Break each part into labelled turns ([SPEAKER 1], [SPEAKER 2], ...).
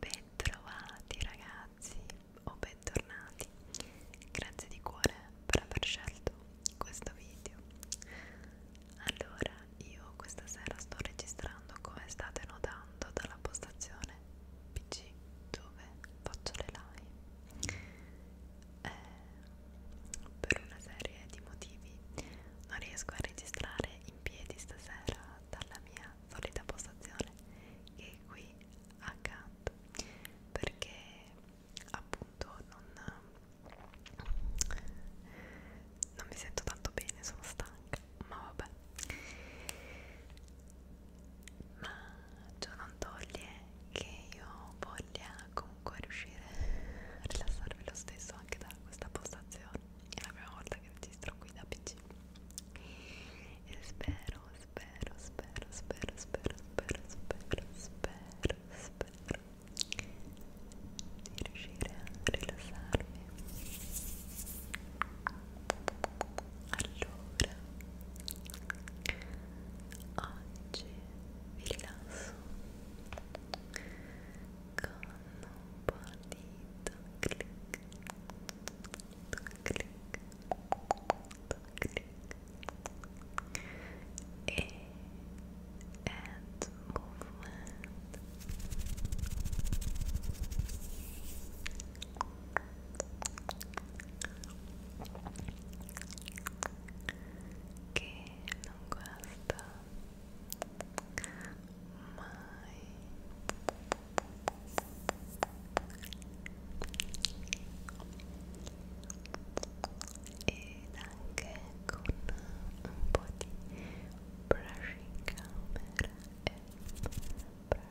[SPEAKER 1] Bentrovati ragazzi o bentornati, grazie di cuore per aver scelto questo video. Allora, io questa sera sto registrando come state notando dalla postazione PC dove faccio le live. Eh, per una serie di motivi non riesco a registrare in piedi stasera dalla mia solita postazione che è qui accanto perché appunto non, non mi sento tanto bene, sono stanca, ma vabbè ma ciò non toglie che io voglia comunque comunque riuscire a rilassarvi lo stesso anche da questa postazione è la prima volta che registro qui da pc e spero spero spero spero spero spero spero spero spero di riuscire a rilassarmi allora oggi vi rilasso un po' di clic clic clic e add movement che non guasta mai ed anche con un po' di brushing camera e brushing pink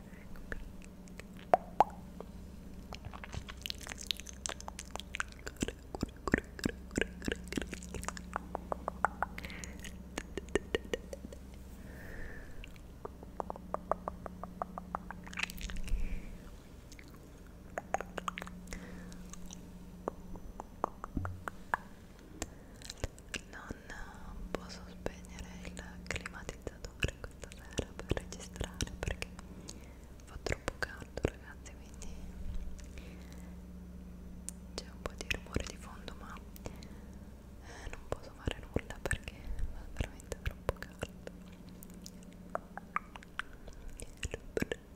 [SPEAKER 1] non posso spegnere il climatizzatore questa sera per registrare perché fa troppo caldo ragazzi quindi c'è un po' di rumore di fondo ma eh, non posso fare nulla perché fa veramente troppo caldo Ecco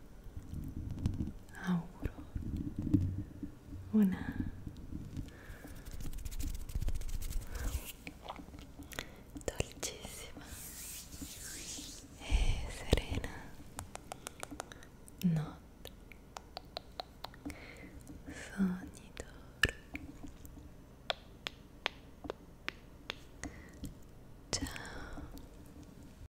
[SPEAKER 2] auguro una dolcissima e serena notte sogni d'oro ciao